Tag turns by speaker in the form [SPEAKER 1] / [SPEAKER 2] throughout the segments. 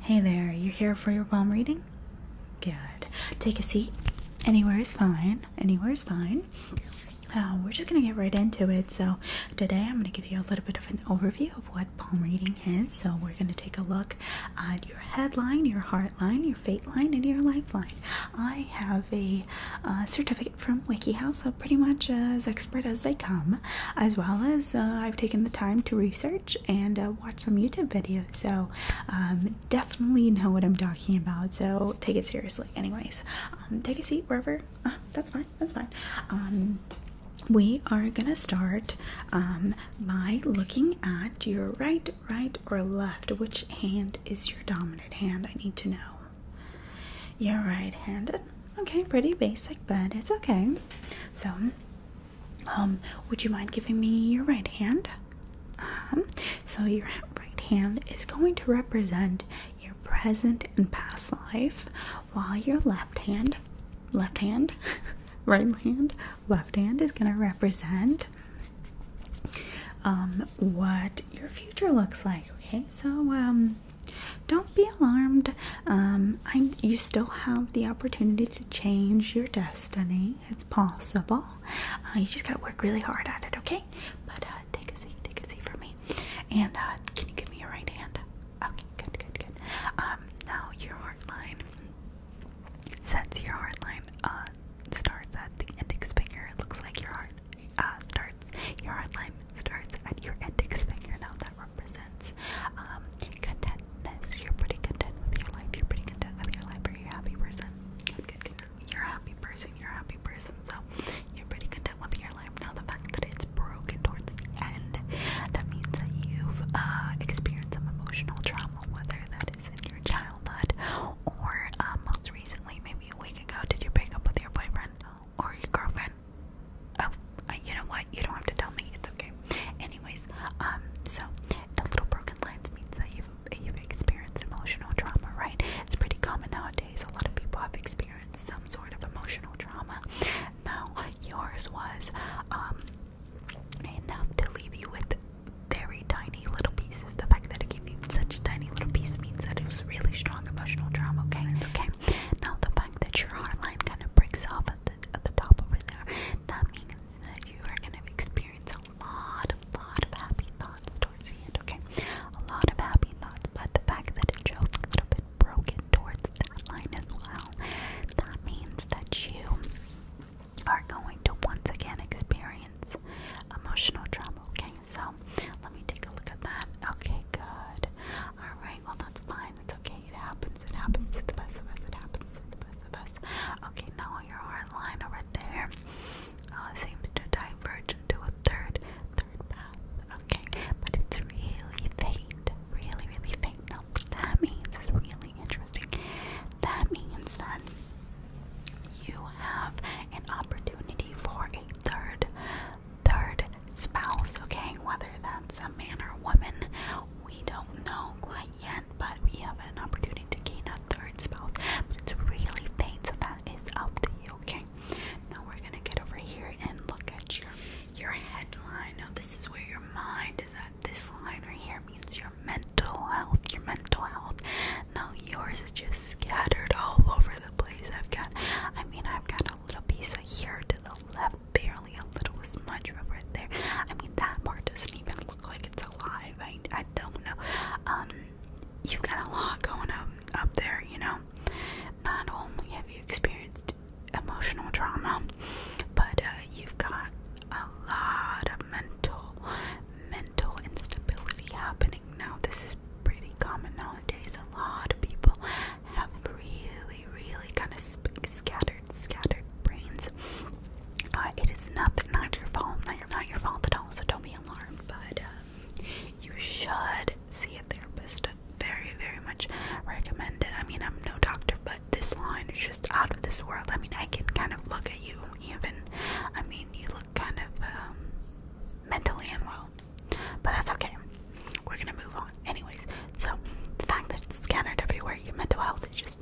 [SPEAKER 1] Hey there, you here for your palm reading? Good. Take a seat. Anywhere is fine. Anywhere is fine. Uh, we're just going to get right into it. So, today I'm going to give you a little bit of an overview of what palm reading is. So, we're going to take a look at your headline, your heart line, your fate line, and your lifeline. I have a certificate from WikiHow, so pretty much as expert as they come, as well as uh, I've taken the time to research and uh, watch some YouTube videos. So, um, definitely know what I'm talking about. So, take it seriously. Anyways, um, take a seat wherever. Uh, that's fine. That's fine. Um, we are gonna start by looking at your right, right, or left. Which hand is your dominant hand? I need to know. You're right handed. Okay, pretty basic, but it's okay. So, um, would you mind giving me your right hand? Uh-huh. so your right hand is going to represent your present and past life, while your left hand, left hand, right hand, left hand is going to represent um, what your future looks like. Okay, so um, don't be alarmed. you still have the opportunity to change your destiny. It's possible. Uh, you just gotta work really hard at it, okay? But uh, take a seat, take a seat for me. And uh, can you give me your right hand? Okay, good, good, good. Um, now your heart line. Since your heart line uh, starts at the index finger, it looks like your heart uh, starts. Your heart line starts at your index finger. Now that represents um, contentness. You're pretty content with your life. You're pretty content with your life. Are you a happy person? You're a happy person. You're a happy person. So you're pretty content with your life. Now the fact that it's broken towards the end, that means that you've uh, experienced some emotional trauma, whether that is in your childhood or um, most recently, maybe a week ago. Did you break up with your boyfriend or your girlfriend? Oh, uh, you know what? You don't have to tell me. It's okay. Anyways, um, so the little broken lines means that you've you've experienced emotional trauma, right? It's pretty common nowadays. A lot of people have experienced some sort of emotional trauma. Now, yours was um, enough to leave you with very tiny little pieces. The fact that it gave you such a tiny little piece means that it was really strong emotional trauma. Okay, okay. Now, the fact that your heart line kind of breaks off at the top over there, that means that you are going to experience a lot, a lot of happy thoughts towards the end, okay? A lot of happy thoughts, but the fact that it shows a broken towards that line as well, that means that you are going to once again experience emotional trauma, okay? So, let me take a look at that. Okay, good. Alright, well, that's fine okay. It happens. It happens to the best of us. It happens to the best of us. Okay, now your heart line over there uh, seems to diverge to a third, third path. Okay, but it's really faint. Really, really faint. Now, that means it's really interesting. That means that you have an opportunity for a third, third spouse. Okay, whether that's a man or a woman, we don't know quite but we have an opportunity to gain a third spouse. But it's really faint, so that is up to you, okay? Now we're gonna get over here and look at your your headline. Now this is where your mind is at. This line right here means your mental health. Your mental health. Now yours is just scattered all over the place. I've got I mean I've got a little piece of here to the left barely a little smudge over there. I mean, that part doesn't even look like it's alive. I, I don't know. Um, you've got a lot going up up there, you know. Not only have you experienced emotional trauma, but uh, you've got a lot of mental mental instability happening now. This is pretty common nowadays. A lot of people have really really, kind of scattered, scattered brains. Uh, it is not not your fault, not, your fault at all. So don't be alarmed. But uh, you should see a therapist. Very, very much recommended. I mean, I'm no doctor, but this line is just out of this world. I mean, I can kind of look at you. Even, I mean, you look kind of um, mentally unwell, but that's okay. We're gonna move on, anyways. So the fact that it's scattered everywhere, your mental health is just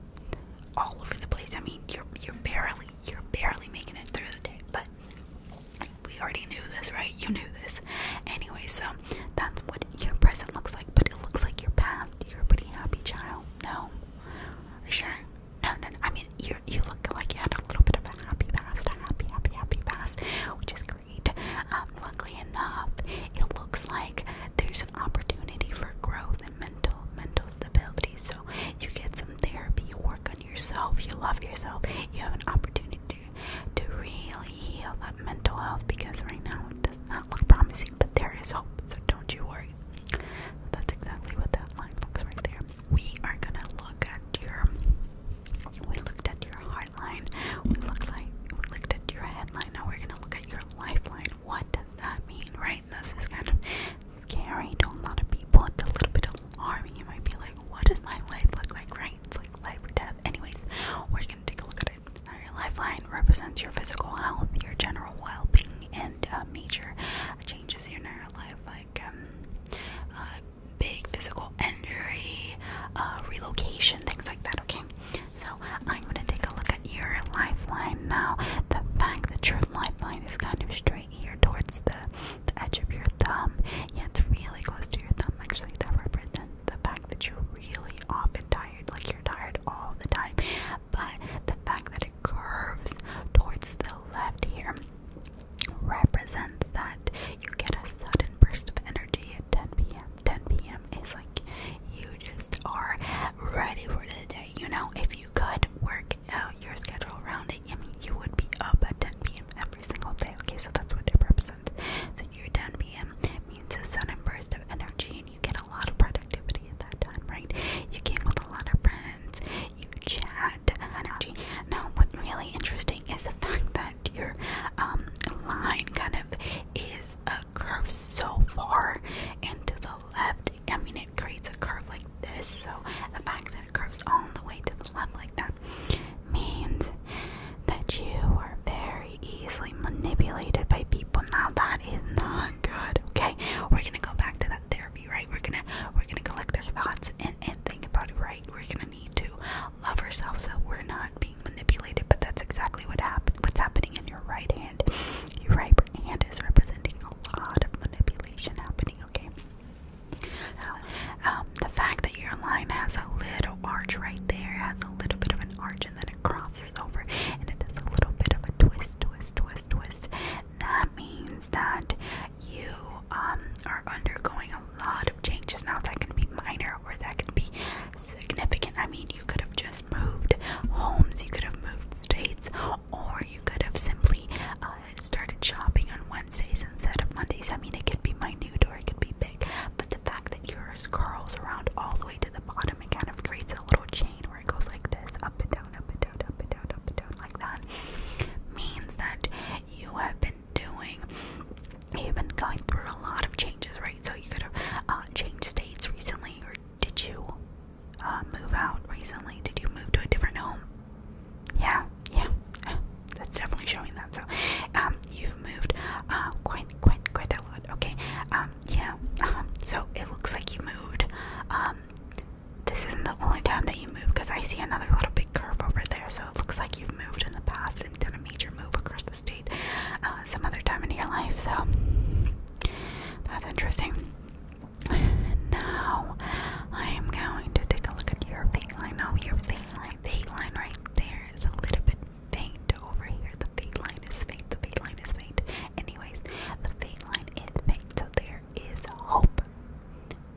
[SPEAKER 1] all over the place. I mean, you're you're barely you're barely making it through the day, but we already knew this, right? You knew this. Anyway, so that's what your present looks like, but it looks like your past. You're a pretty happy child. No. Are you sure? No, no, I mean, you you look like you had a little bit of a happy past, a happy, happy, happy past, which is great. Um, luckily enough, it looks like there's an opportunity for growth and mental mental stability. So you get some therapy, work on yourself, you love yourself, you have an opportunity to really heal that mental health because right now it does not look promising, but there is hope. So don't you worry. that's exactly what that line looks right there. We are gonna look at your. We looked at your heart line. We looked like we looked at your head line. Now we're gonna look at your lifeline what does that mean, right? This is kind of scary to a lot of people. It's a little bit alarming. You might be like, what does my life look like, right? It's like life or death. Anyways, we're gonna take a look at it. Now, your lifeline represents your physical health, your general well-being, and uh, major changes in your life, like um, uh, big physical injury, uh, relocation, things like that. Okay, so I'm gonna take a look at your lifeline now. The fact that your lifeline is kind of straight here towards the, edge of your thumb, yeah, it's really close to your thumb. Actually, that represents the fact that you're really often tired, like you're tired all the time. But the fact that it curves towards the left here represents that you get a sudden burst of energy at 10 p.m. 10 p.m. is like you just are ready for the day. You know, if you could work out your schedule around it, I mean, you would be up at 10 p.m. every single day. Okay, so that's what it represents. So your 10 p.m. means a sudden burst of energy, and you get a lot of productivity at that time, right? You came with a lot of friends, you chat, energy. Now, what's really interesting is the fact that your um, line kind of is. Uh, curve so far and to the left. I mean, it creates a curve like this. So the fact that it curves all the way to the left like that means that you are very easily manipulated by people. Now that is not good. Okay, we're gonna go back to that therapy, right? We're gonna we're gonna collect our thoughts and and think about it, right? We're gonna need to love ourselves so we're not being manipulated, but that's exactly what happen what's happening in your right hand. Your right hand is representing a lot of manipulation happening, okay? Um, the fact that your line has a little arch right there, has a little bit of an arch and then it crosses over and it does a little bit of a twist, twist, twist, twist. That means that you um, are undergoing a lot of changes now that can be minor or that can be significant. I mean, you could have just has moved homes, you could have moved states, or you could have simply uh, started shopping on Wednesdays instead of Mondays. I mean, it could be minute or it could be big, but the fact that yours curls around all the way to the bottom and kind of creates a little chain where it goes like this up and down, up and down, up and down, up and down, like that means that you have been doing. You've been going through a lot of changes, right? So you could have uh, changed states recently, or did you uh, move out recently? Did you move to a different home? Yeah, yeah. That's definitely showing that. So, um, you've moved uh, quite, quite, quite a lot. Okay. Um, yeah. Um, so it looks like you moved. Um, this isn't the only time that you move because I see another little big curve over there. So it looks like you've moved in the past and done a major move across the state. Uh, some other time in your life. So that's interesting. Now I am going to take a look at your fake line. Oh, your fake line, fake line right there is a little bit faint over here. The fake line is faint. The fake line is faint. Anyways, the fake line is faint, so there is hope.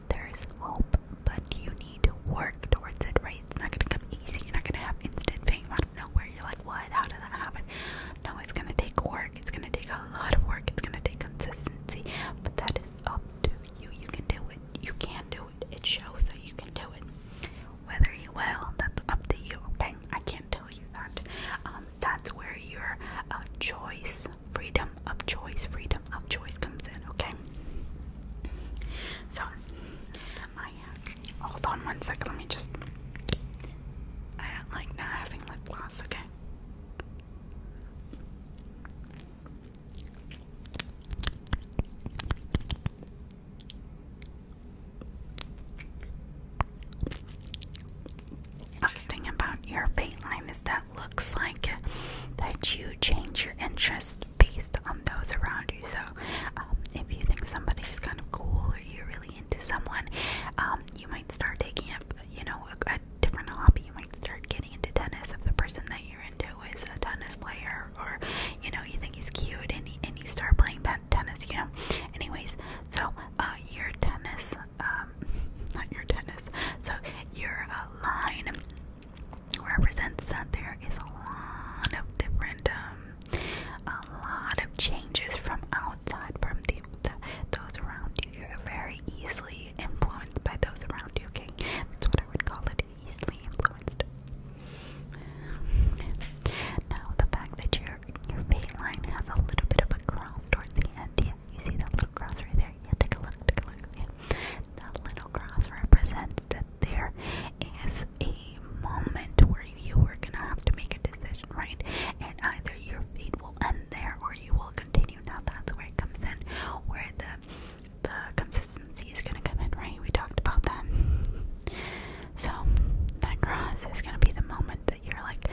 [SPEAKER 1] There is hope, but you need to work towards it, right? It's not gonna come easy. You're not gonna have instant fame out of nowhere. You're like, what? How did that happen? No, it's gonna take work. It's gonna take a lot of work. It's gonna take consistency. But that is up to you. You can do it. You can do it. It shows that you can do it. Whether you will, that's up to you. Okay, I can't tell you that. Um, that's where your uh, choice, freedom of choice, freedom of choice comes in. Okay. So, hold on one second, let me just I don't like not having lip gloss, okay? Interesting about your paint line is that looks like that you change your interest based on those around you. So, um, if you think somebody is kind of cool or you really really into someone, um, you might start taking up, you know, a, a different hobby. You might start getting into tennis if the person that you're into is a tennis player, or you know, you think he's cute, and he, and you start playing that tennis. You know, anyways, so uh, your tennis, um, not your tennis, so your uh, line represents that there is a lot of different uh, a lot of changes from outside, from the, those around you. You're very easily influenced by those around you. Okay, that's what I would call it. Easily influenced. Now the fact that your your fate has a little bit of a cross towards the end. Yeah, you see that little cross right there. Yeah, take a look. Take a look. Yeah. That little cross represents there is a moment where you are gonna have to make a decision, right? And either your fate will end there or you will continue. Now that's where it comes in, where the the consistency is gonna come in, right? We talked about that. So that cross is gonna be the moment that you're like,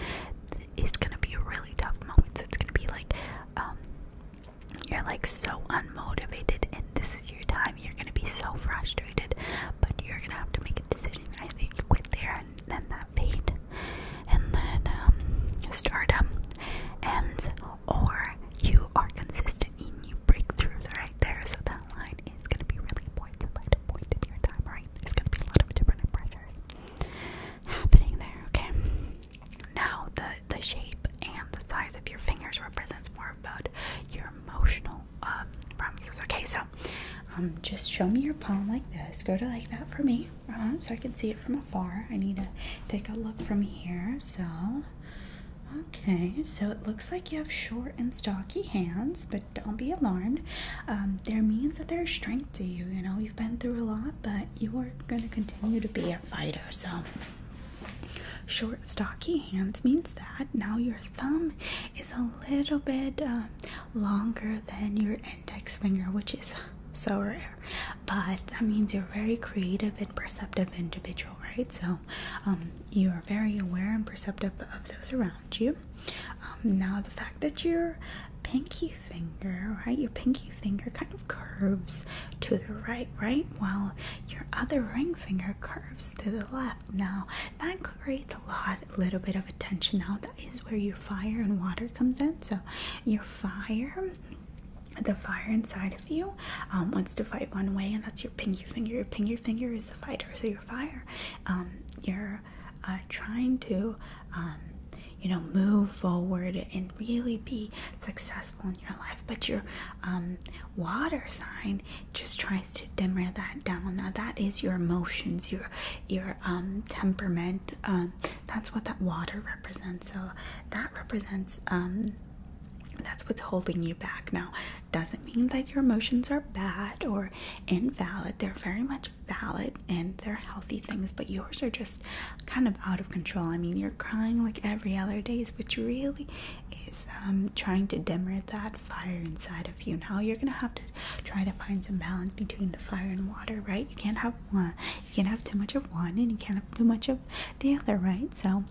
[SPEAKER 1] it's gonna be a really tough moment. So it's gonna be like, um, you're like so unmotivated, and this is your time. You're gonna be so frustrated, but you're gonna have to make a decision. I think you quit there and then that fade and then um, stardom and or you are consistent and you break through right there so that line is going to be really important like point in your time right there's going to be a lot of different pressures happening there okay now the the shape and the size of your fingers represents more about your emotional um, promises. Okay, so um, just show me your palm like this. Go to like that for me, uh-huh, so I can see it from afar. I need to take a look from here. So, okay, so it looks like you have short and stocky hands, but don't be alarmed. Um, there means that there's strength to you. You know, you've been through a lot, but you are going to continue to be a fighter. So. Short, stocky hands means that now your thumb is a little bit uh, longer than your index finger, which is so rare. But that means you're a very creative and perceptive individual, right? So um, you are very aware and perceptive of those around you. Um, now, the fact that your pinky finger, right, your pinky finger kind of curves to the right, right, while your other ring finger curves to the left. Now, that evaporates a lot, a little bit of attention now. That is where your fire and water comes in. So your fire, the fire inside of you, um, wants to fight one way, and that's your pinky finger. Your pinky finger is the fighter. So your fire, um, you're uh, trying to, um, you know, move forward and really be successful in your life. But your water sign just tries to dimmer that down. Now that is your emotions, your your um temperament. Um that's what that water represents. So that represents um that's what's holding you back. Now doesn't mean that your emotions are bad or invalid. They're very much valid and they're healthy things, but yours are just kind of out of control. I mean, you're crying like every other day, which really is um, trying to dimmer that fire inside of you. Now you're gonna have to try to find some balance between the fire and water, right? You can't have one, you can't have too much of one, and you can't have too much of the other, right? So,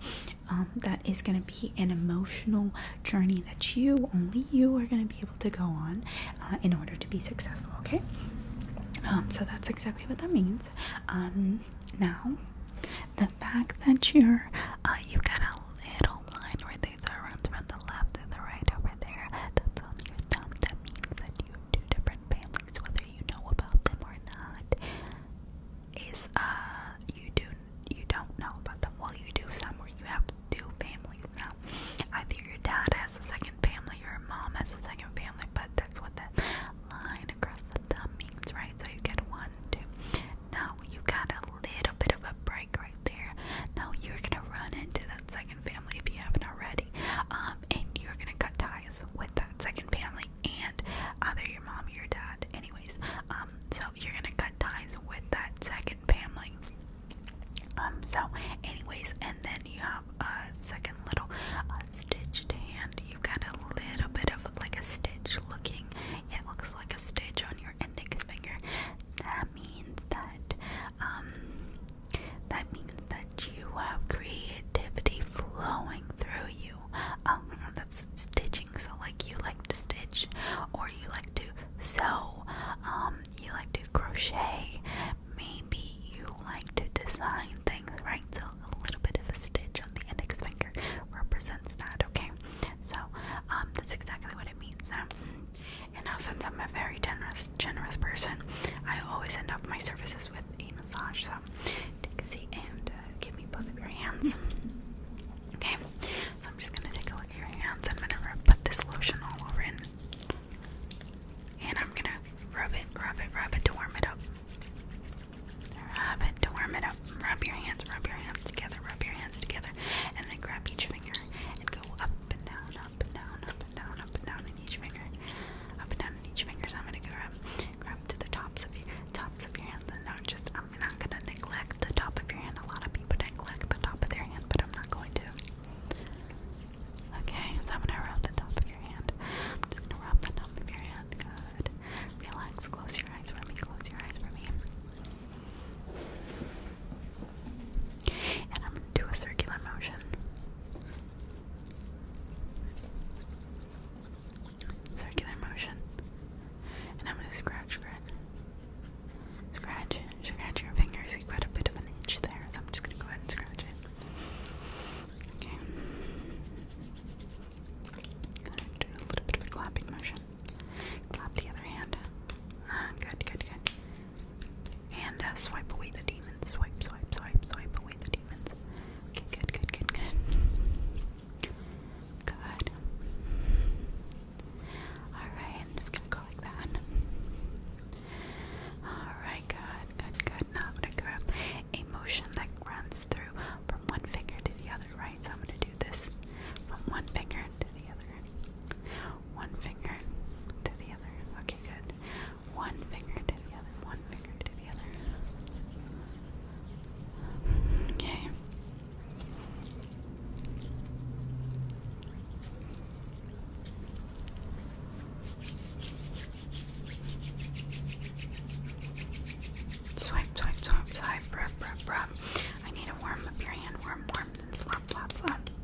[SPEAKER 1] um, that is gonna be an emotional journey that you only you are gonna be able to go on uh, in order to be successful. Okay, um, so that's exactly what that means. Um, now the fact that you're uh, you got a little line where there's a runs from the left to the right over there. That's on your thumb. That means that you have two different families, whether you know about them or not. Is uh you do you don't know about them. Well you do some where you have two families now. Either your dad has a second family or your mom has a second family, but that's what that line across the thumb means, right? So you get one, two. Now you got a little bit of a break right there. Now you're gonna run into that second family if you haven't already, um, and you're gonna cut ties with that second family and either your mom or your dad. Anyways, um, so you're gonna cut ties with that second family. Um, so anyways, and then you have a second little uh, stitched hand. You've got a little bit of like a stitch looking. it looks like a stitch on your index finger that means that um that means that you have creativity flowing through you. Um that's stitching, so like you like to stitch or you like to sew, um, you like to crochet, maybe you like to design things, right? So a little bit of a stitch on the index finger represents that, okay? So, um that's exactly what it means. And now, since I'm a very generous, generous person, I always end up my services with a massage. So, take a seat and uh, give me both of your hands. Okay, so I'm just gonna take a look at your hands. I'm gonna rub this lotion all over it, and I'm gonna rub it, rub it, rub it to warm it up. Rub it to warm it up. Rub your hands, rub your hands together, rub your hands together, and then grab each finger and go up up and down, up and down, up and down, up and down in each finger, up and down in each finger. I'm gonna grab, grab to the tops of your tops of your hands. And not just I'm not gonna neglect the top of your hand. A lot of people neglect the top of their hand, but I'm not going to. Okay, so I'm gonna rub the top of your hand. I'm just gonna rub the top of your hand. Good. Relax. Close your eyes for me. Close your eyes for me. And I'm going to do a circular motion. Circular motion. And I'm going to scratch, scratch. Scratch, scratch your fingers. You got a bit of an itch there, so I'm just going to go ahead and scratch it. Okay. going to do a little bit of a clapping motion. Clap the other hand. Ah, good, good, good. And uh, swipe away the demons. Swipe, swipe, swipe, swipe away the demons. Okay, good, good, good, good. Good. Alright, I'm just gonna go like that. Alright, good, good, good. Now I'm gonna grab a motion that runs through from one finger to the other, right? So I'm gonna do this from one finger to the other. One finger to the other. Okay, good. One finger to the other. One finger to the other. Okay. Swipe, swipe, swipe, swipe, rub, rub, rub. I need to warm up your hand. Warm, warm, then slap, slap, slap.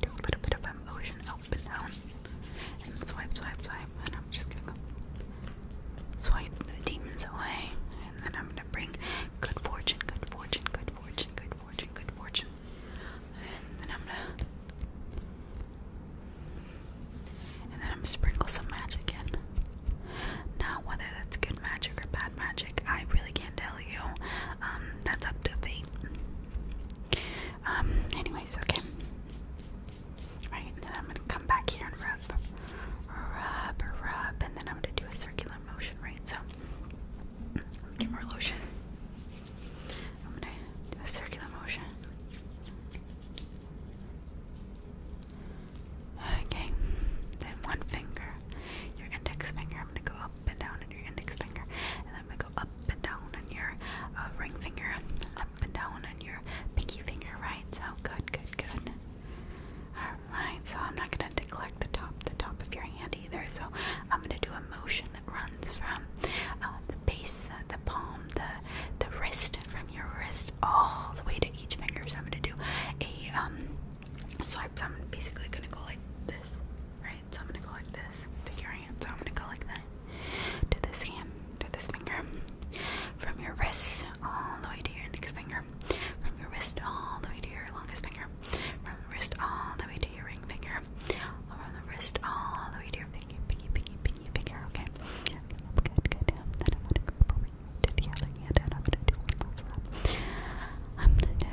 [SPEAKER 1] do a little bit of emotion up and down, and swipe, swipe, swipe, and I'm just gonna go swipe the demons away, and then I'm gonna bring good fortune, good fortune, good fortune, good fortune, good fortune, and then I'm gonna. And then I'm gonna sprinkle some magic in. Now, whether that's good magic or bad magic, I really can't tell you. Um, that's up to fate. Um, anyway, so okay. Right, and then I'm gonna come back here and rub, rub, rub, and then I'm gonna do a circular motion, right? So, get more lotion. I'm gonna do a circular motion. Okay, then one finger, your index finger, I'm gonna go up up and down on your index finger, and then we go up and down on your uh, ring finger, up and down on your pinky finger, right? So good, good, good. Alright, so I'm not gonna neglect the top, the top of your hand either. So I'm gonna do a motion that runs from uh, the base, the, uh, the palm, the the wrist, from your wrist all the way to each finger. So I'm gonna do a um swipe. So I'm basically gonna go like this, right? So I'm gonna go like this to your hand. So I'm gonna go like that to this hand, to this finger, from your wrist all the way to your next finger, from your wrist all the way to your longest finger, from the wrist all the way to your ring finger, from the wrist all the way to your pinky, pinky, pinky, pinky finger. Okay. Good, good. then I'm gonna go over to the other hand, and I'm gonna do one last round. I'm gonna do.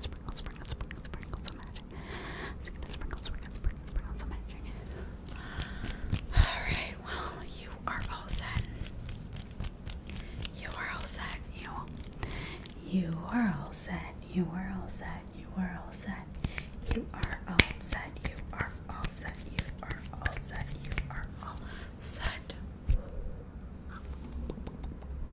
[SPEAKER 1] sprinkle, sprinkle, sprinkle, sprinkle some magic. I'm just gonna sprinkle, sprinkle, sprinkle, sprinkle some magic. Alright, well, you are all set. You are all set. You You are all set. You are all set. You are all set. You are all set. You are all set. You are all set. You are all set.